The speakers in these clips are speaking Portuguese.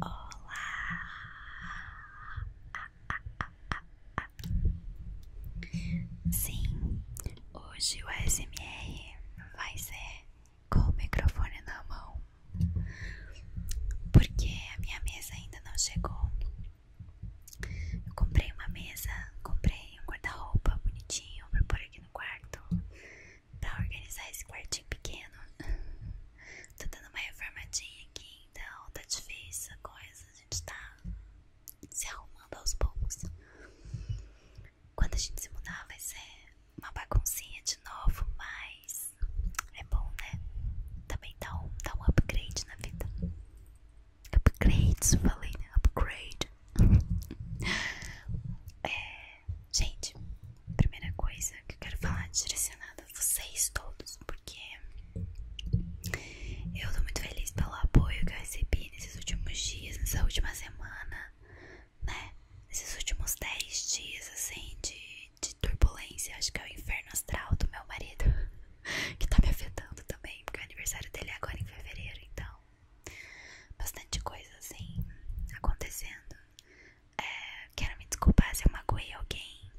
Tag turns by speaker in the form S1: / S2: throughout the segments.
S1: Olá! Sim, hoje o SMR vai ser com o microfone na mão, porque a minha mesa ainda não chegou. Eu comprei uma mesa, comprei um guarda-roupa bonitinho pra pôr aqui no quarto pra organizar esse quartinho pequeno. Tô dando uma reformadinha aqui, então tá difícil a coisa, a gente tá se arrumando aos poucos. Quando a gente se mudar vai ser uma baguncinha de novo, mas é bom, né? Também dá um, dá um upgrade na vida. Upgrades, falei, né? Upgrade. É, gente, primeira coisa que eu quero falar é direcionada a vocês todos, porque eu tô muito feliz pelo apoio que eu recebi nesses últimos dias, nessa última semana, né? Nesses últimos dez dias, assim, de, de turbulência, acho que é o inferno astral do meu marido, que tá me afetando também, porque o aniversário dele é agora em fevereiro, então bastante coisa assim acontecendo. É, quero me desculpar se eu magoei alguém.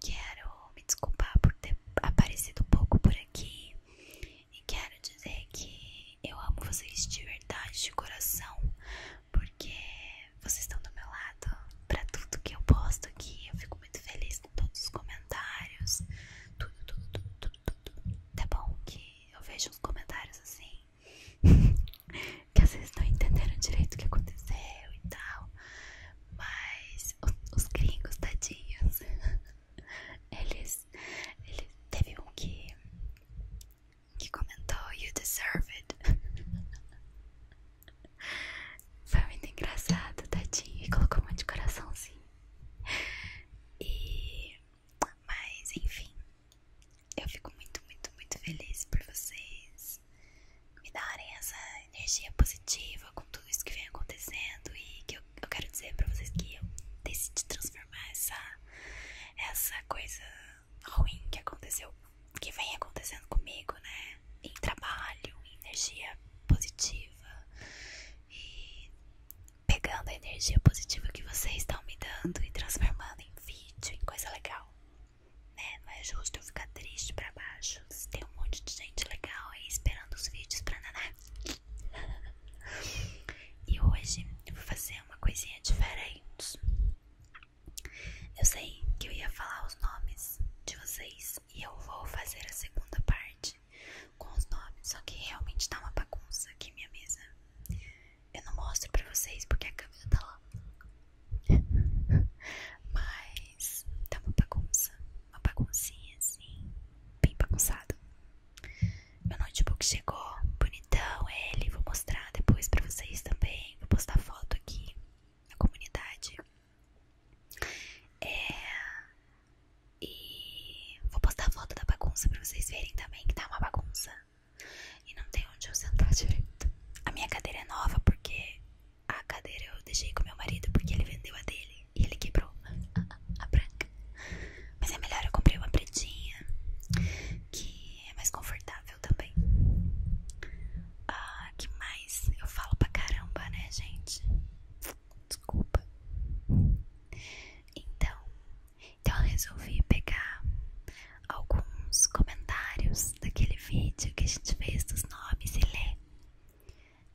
S1: Quero me desculpar por ter aparecido um pouco por aqui. E quero dizer que eu amo vocês de verdade, de coração, porque vocês estão do meu lado para tudo que eu posto aqui. Eu fico muito feliz com todos os comentários, tudo, tudo, tudo, tudo, tudo. Tá bom que eu vejo uns comentários assim que às vezes não entenderam direito o que aconteceu e tal. Mas os, gringos, tadinhos, eles, eles. Teve um que, que comentou: You deserve it. Foi muito engraçado, tadinho. E colocou um monte de coraçãozinho. E mas enfim, eu fico muito, muito, muito feliz por vocês me darem essa energia positiva com tudo isso que vem acontecendo e que eu, quero dizer pra vocês que eu decidi transformar essa, essa coisa ruim que aconteceu, que vem acontecendo comigo, né? Em trabalho, em energia positiva. E pegando a energia positiva que vocês estão me dando e transformando em vídeo, em coisa legal. Né? Não é justo eu ficar triste pra baixo. Tem um monte de gente legal aí esperando os vídeos pra naná. e hoje eu vou fazer uma coisinha diferente. Eu sei que eu ia falar os nomes de vocês e eu vou fazer a segunda parte com os nomes, só que realmente tá uma bagunça aqui minha mesa. Eu não mostro pra vocês porque a câmera tá lá. Mas tá uma bagunça, uma baguncinha assim, bem bagunçado. Meu notebook chegou, bonitão ele, vou mostrar depois pra vocês também, vou postar foto aqui na comunidade. É, e vou postar foto da bagunça pra vocês verem também que tá uma bagunça. E não tem onde eu sentar direito. A minha cadeira é nova porque a cadeira eu deixei com meu marido porque ele vendeu a dele e ele quebrou a, a branca. Mas é melhor eu comprei uma pretinha que é mais confortável também. Ah, que mais? Eu falo pra caramba, né, gente? desculpa. Então, então eu resolvi pegar alguns comentários daquele vídeo que a gente fez dos nomes e ler.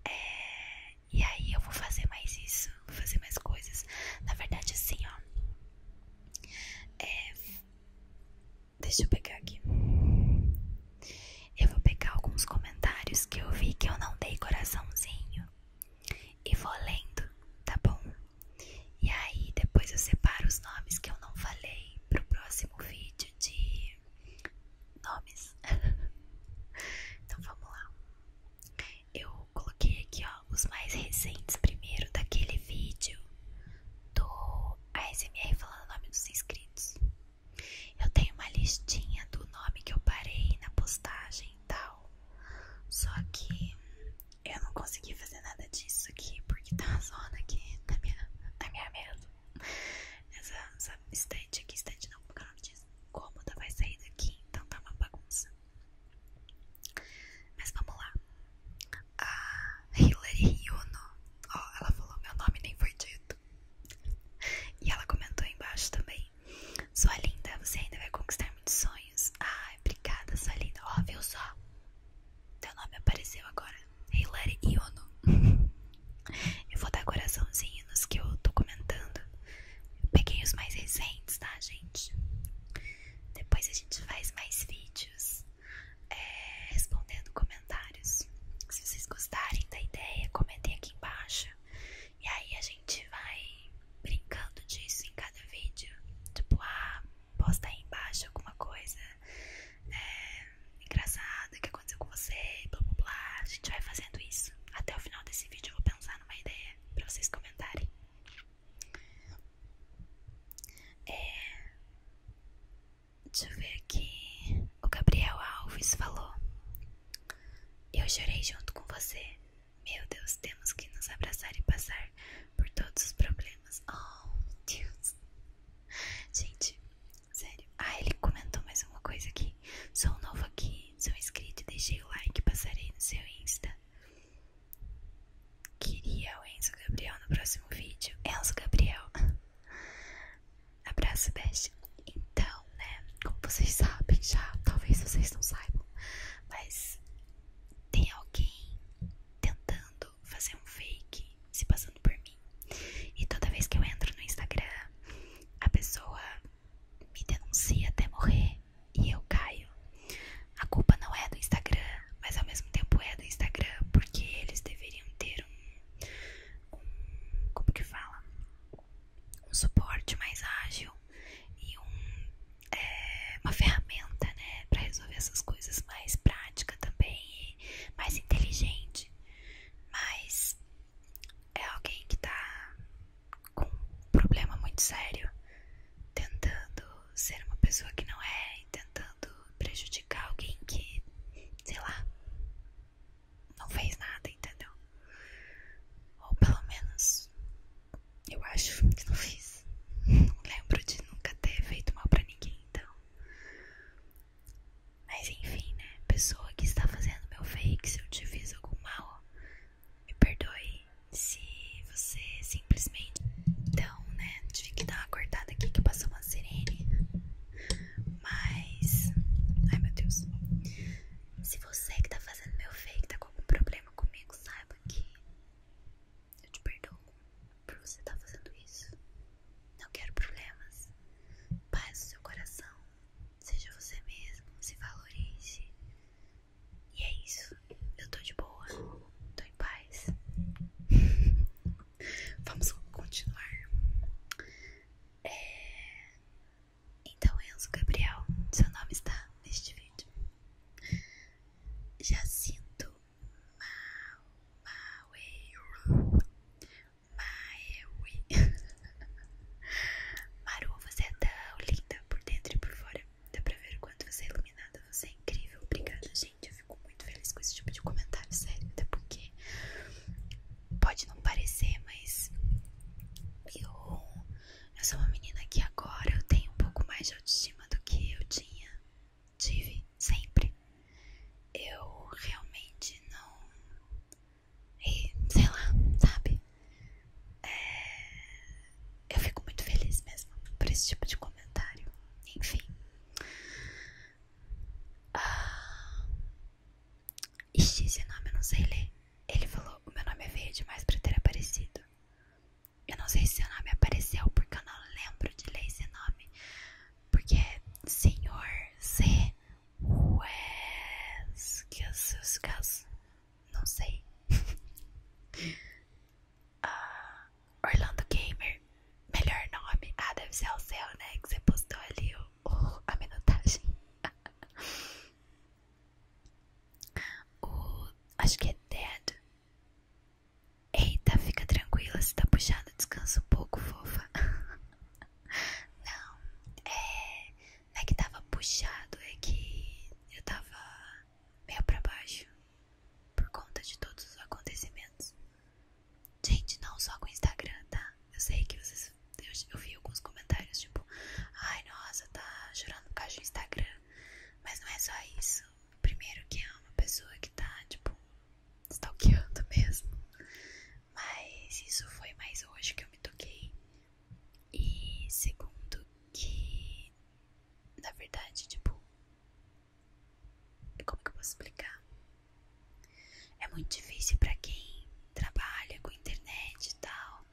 S1: É, e aí eu vou fazer mais isso, vou fazer mais coisas. Na verdade, assim, ó. É, deixa eu pegar aqui. Eu vou pegar alguns comentários que eu vi que eu não dei coraçãozinho e vou lendo, tá bom? E aí depois eu separo os nomes que eu não falei pro próximo vídeo de nomes. então vamos lá. Eu coloquei aqui ó os mais recentes primeiro daquele vídeo do ASMR falando o nome dos inscritos. Eu tenho uma listinha do nome que eu parei na postagem e tal. Só que eu não consegui fazer nada disso aqui porque tá uma zona aqui na minha, na minha mesa. Essa, essa estante aqui, estante não, porque eu não disse cômoda vai sair daqui, então tá uma bagunça. Mas vamos lá. A Hilary Yuno, ó, ela falou: meu nome nem foi dito. E ela comentou embaixo também: Sua linda, você ainda vai conquistar muitos sonhos. Ai, ah, obrigada, sua linda. Ó, oh, só? Teu nome apareceu agora: Hilary Iono. eu vou dar coraçãozinho nos que eu tô comentando. Eu peguei os mais recentes, tá, gente? Depois a gente faz mais vídeos é, respondendo comentários se vocês gostarem da ideia, comentem aqui embaixo. E aí a gente vai brincando disso em cada vídeo. Tipo, ah, posta aí embaixo alguma coisa é, engraçada que aconteceu com você, blá blá blá. A gente vai fazendo isso. Até o final desse vídeo eu vou pensar numa ideia pra vocês comentarem. É, Deixa eu ver aqui. O Gabriel Alves falou: Eu chorei junto com você. Meu Deus, temos que nos abraçar e passar por todos os problemas. Oh, Deus. Gente, sério. Ah, ele comentou mais uma coisa aqui. Sou novo aqui, sou inscrito e deixei o like. Passarei no seu Insta. Queria o Enzo Gabriel no próximo vídeo. Enzo Gabriel. Abraço, beijo. Então, né? Como vocês sabem já, talvez vocês não saibam, mas tem alguém tentando fazer um fake se passando por mim. E toda vez que eu entro no Instagram, a pessoa me denuncia até morrer e eu caio. A culpa não é do Instagram, mas ao mesmo tempo é do Instagram, porque eles deveriam ter um um, como que fala? Um suporte mais ágil e é, uma ferramenta, né? Pra resolver essas coisas mais prática também e mais inteligente. Mas é alguém que está com um problema muito sério, tentando ser uma pessoa que não é tentando prejudicar alguém que, sei lá, não fez nada, entendeu? Ou pelo menos eu acho que não fiz. Não lembro de nunca ter feito mal pra ninguém, então. Mas enfim, né? Pessoa que está fazendo meu fake, se eu te fiz algum mal, me perdoe. Se você simplesmente então, né, tive que dar uma cortada aqui que passou uma sirene. Mas. Ai meu Deus. Se você que tá fazendo meu fake tá com algum problema comigo, saiba que eu te perdoo por você estar tá fazendo isso. Não quero problemas. Paz no seu coração. Seja você mesmo. Se valorize. E é isso. Eu tô de boa. Tô em paz. Vamos continuar. É, então, Enzo Gabriel, seu nome está neste vídeo. Já sinto mal, mal Maueiro. Maueiro. Maru, você é tão linda por dentro e por fora. Dá pra ver o quanto você é iluminada. Você é incrível. Obrigada, Gente, eu fico muito feliz com esse tipo de comentário, sério. Até porque pode não parecer, mas eu, eu sou uma menina que agora eu tenho um pouco mais de autoestima do que eu tinha, tive sempre. Eu realmente não. E, sei lá, sabe? É, eu fico muito feliz mesmo por esse tipo de comentário. Enfim. Ah, Ixi, esse nome eu não sei ler. Ele falou: O meu nome é feio demais pra ter aparecido. Eu não sei se seu nome apareceu porque eu não lembro de ler esse nome. Porque é Senhor C. Wes. Que os seus casos. Não sei. Ah, Orlando Gamer, melhor nome. Ah, deve ser o céu, né? Que você postou ali a minutagem. o, acho que é Dead. Eita, fica tranquila, se tá puxado, descansa um pouco, fofa. Não, é, não é que tava puxado, é que eu tava meio pra baixo por conta de todos os acontecimentos. Gente, não só com o Instagram, tá? Eu sei que vocês. Eu, vi alguns comentários tipo: Ai, nossa, tá chorando por causa do Instagram. Mas não é só isso. Primeiro, que é uma pessoa que tá, tipo, stalkeando mesmo. Mas isso foi mais hoje que eu me toquei. E segundo, que na verdade, tipo, como que eu posso explicar? É muito difícil para quem trabalha com internet e tal,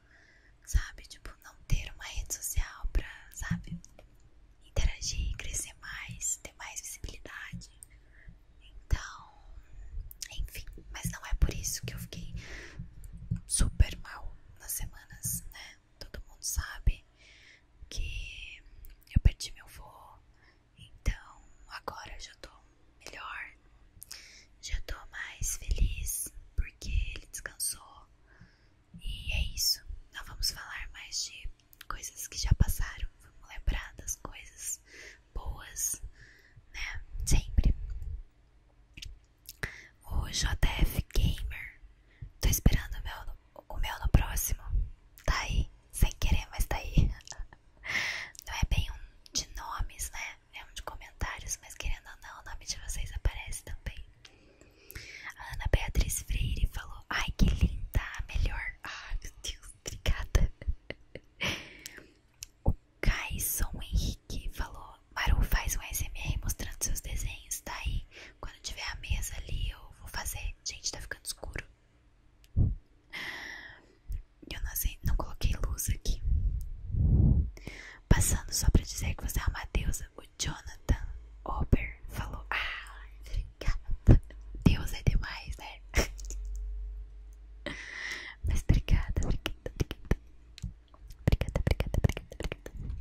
S1: sabe? Tipo, não ter uma rede social pra, sabe, interagir, crescer mais, ter mais visibilidade. Então, enfim, mas não é por isso que eu fiquei super mal nas semanas, né? todo mundo sabe que eu perdi meu voo, então agora já tô melhor, já tô mais feliz porque ele descansou e é isso. não vamos falar mais de coisas que já passaram, vamos lembrar das coisas boas, né? Sempre o JF Gamer. Tô esperando o meu, o meu no próximo. Tá aí, sem querer, mas tá aí. Não é bem um de nomes, né? É um de comentários, mas querendo ou não, o nome de vocês aparece também. A Ana Beatriz Freire falou: Ai, que linda, melhor. Ai, ah, meu Deus, obrigada. O Caison Henrique falou: Maru faz um SMR mostrando seus desenhos. Daí, tá quando tiver a mesa ali, eu vou fazer. Gente, tá ficando escuro. Eu não, não coloquei luz aqui. Passando só pra dizer que você é uma deusa. O Jonathan Ober falou: Ah, obrigada. Deus é demais, né? Mas obrigada, obrigada, obrigada. Obrigada, obrigada, obrigada, obrigada.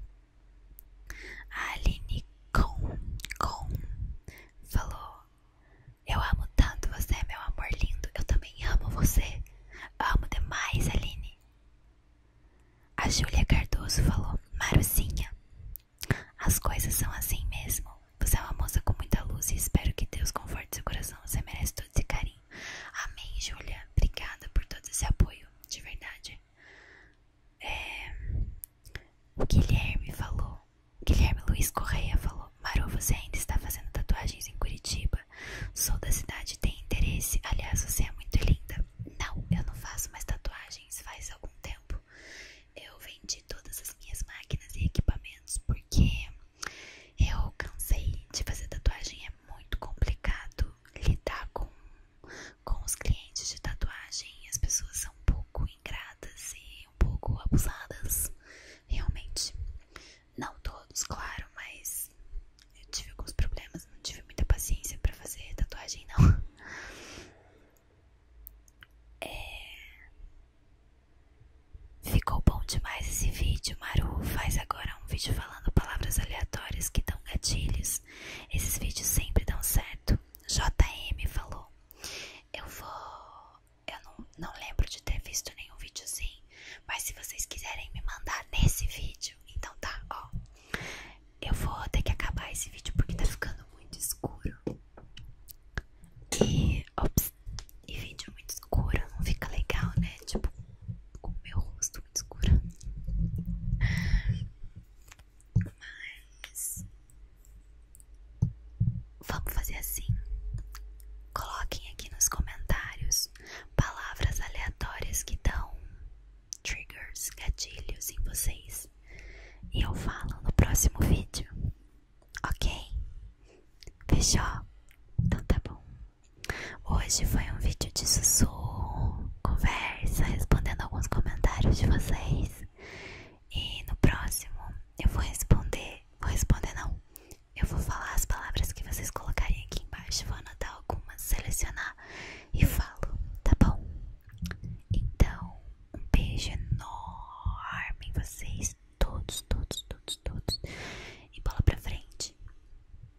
S1: A Aline Com, Com falou: Eu amo tanto você, meu amor lindo. Eu também amo você. Amo demais, Aline. A Júlia Cardoso falou: Maruzinha, as coisas são assim mesmo. Você é uma moça com muita luz e espero que Deus conforte seu coração. Você merece todo esse carinho. Amém, Júlia. Obrigada por todo esse apoio, de verdade. É, o Guilherme falou. Guilherme Luiz Correia falou: Maru, você ainda está fazendo tatuagens em Curitiba? Sou da cidade, tem interesse. Aliás, você é muito linda. Não, eu não faço mais tatuagens faz algum tempo. Eu vendi todas as minhas máquinas e equipamentos porque eu cansei de fazer tatuagem, é muito complicado lidar com, com os clientes de tatuagem. As pessoas são um pouco ingratas e um pouco abusadas, realmente. Não todos, claro, mas eu tive alguns problemas, não tive muita paciência para fazer tatuagem, não. É, Ficou bom demais esse vídeo, Maru. Faz agora um vídeo falando palavras aleatórias que dão gatilhos. Esses vídeos sempre dão certo. JM falou. Eu vou. Eu não, lembro de ter visto nenhum vídeo assim. Mas se vocês quiserem me mandar nesse vídeo, então tá, ó. Eu vou ter que acabar esse vídeo porque tá ficando muito escuro. E ops, e vídeo muito escuro não fica legal, né? Tipo, com o meu rosto muito escuro. Mas vamos fazer assim. Coloquem aqui nos comentários palavras aleatórias que dão triggers, gatilhos em vocês. E eu falo no próximo vídeo. Ok? Fechou? Então tá bom. Hoje foi um vídeo de sussurro, conversa, respondendo alguns comentários de vocês. E no próximo eu vou responder. Vou responder não. Eu vou falar as palavras que vocês colocarem aqui embaixo. Vou anotar algumas, selecionar e falo, tá bom? Então, um beijo enorme em vocês todos, todos, todos, todos. E bola pra frente,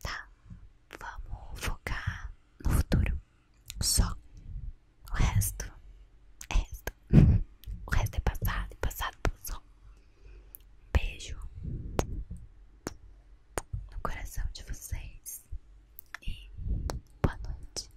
S1: tá? Vamos focar no futuro. Só. O resto é resto. o resto é passado, é passado passou. Beijo no coração de vocês. E boa noite.